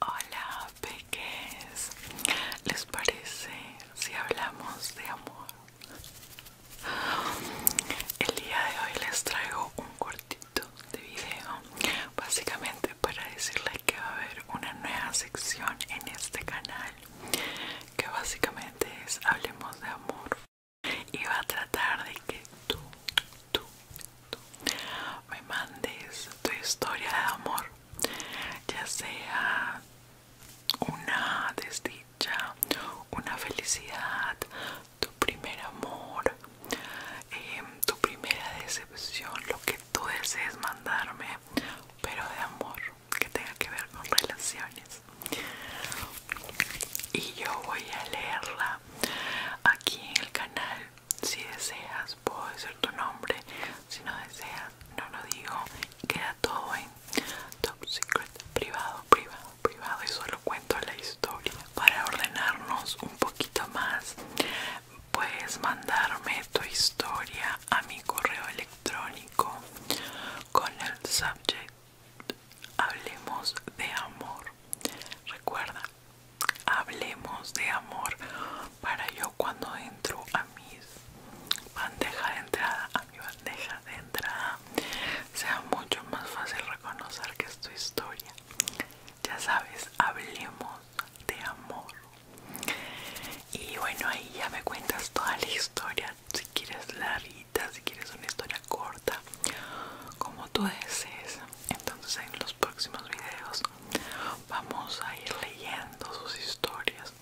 Hola, peques. ¿Les parece si hablamos de amor? El día de hoy les traigo un cortito de video, básicamente para decirles que va a haber una nueva sección en este canal, que básicamente es Hablemos de amor y va a tratar de que tú tú, me mandes tu historia de amor, ya sea una desdicha, una felicidad, tu primer amor, em, tu primera decepción, lo que tú desees mandarme, pero de amor, que tenga que ver con relaciones. Y yo voy a leerla aquí en el canal si deseas, puedo decir tu nombre. Si no deseas, no lo digo. Queda todo en top secret, privado, privado, privado. Y solo cuento la historia. Para ordenarnos un poquito más, puedes mandarme tu historia a mi correo electrónico con el subject Hablemos de amor. Recuerda, hablemos de amor para yo cuando entro a mi bandeja de entrada a mi bandeja de entrada sea mucho más fácil reconocer que es tu historia ya sabes hablemos de amor y bueno ahí ya me cuentas toda la historia si quieres larga, si quieres una historia corta como tú desees entonces en los próximos videos vamos a ir leyendo sus historias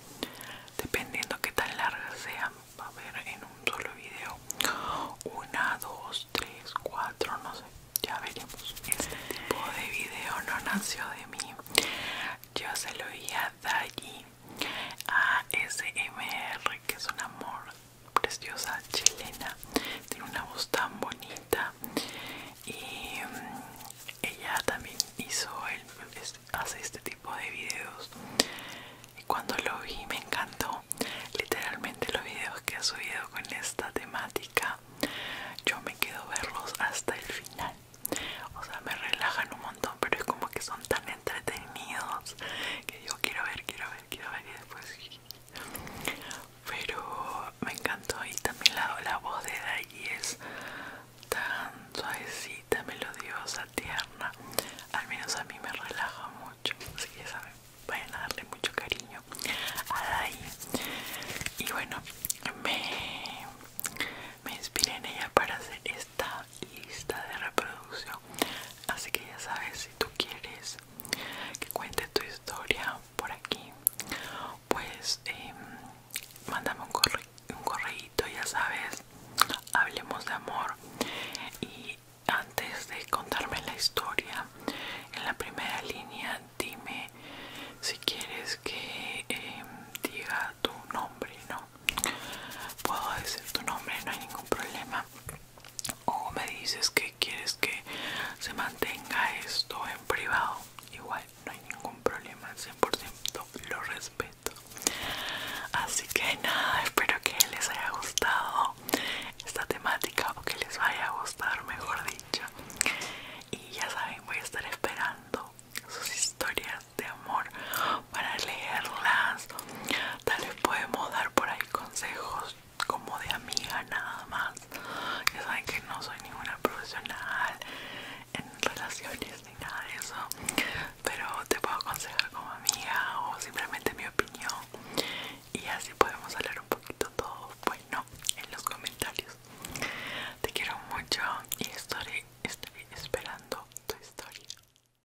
dependiendo que tan largas sean va a ver en un solo video una dos tres cuatro no sé ya veremos este tipo de video no nació de mí yo se lo iba a Dagi a SMR que es un amor preciosa chilena tiene una voz tan bonita y mm, ella también hizo hace este tipo de videos y cuando lo vi me encantó literalmente los videos que ha subido con esta temática yo me quedo verlos hasta el final o sea me relajan un montón pero es como que son tan entretenidos que yo quiero ver quiero ver quiero ver y después pero me encantó y también la, voz de Dai es tan suavecita, melodiosa, tierna, al menos a mí me relaja mucho, así que saben, vayan a darle mucho cariño a Dai y bueno, me, me inspiré en ella para hacer esta lista de reproducción, así que ya sabes si tú quieres que cuente tu historia por aquí pues em, mándame un, correo un ya sabes hablemos de amor y antes de contarme la historia en la primera línea dime si quieres que em, diga tu nombre no puedo decir tu nombre no hay ningún problema o me dices que quieres que se mantenga esto en privado igual no hay ningún problema 100% lo respeto así que nada espero que les haya gustado esta temática o que les vaya a gustar mejor dicho y ya saben voy a estar esperando sus historias de amor para leerlas. Tal vez podemos dar por ahí consejos como de amiga nada más. Ya saben que no soy ninguna profesional en relaciones ni nada de eso. Pero te puedo aconsejar como amiga o simplemente mi opinión. Y así podemos hablar un poquito Todo bueno en los comentarios. Te quiero mucho y estoy esperando tu historia.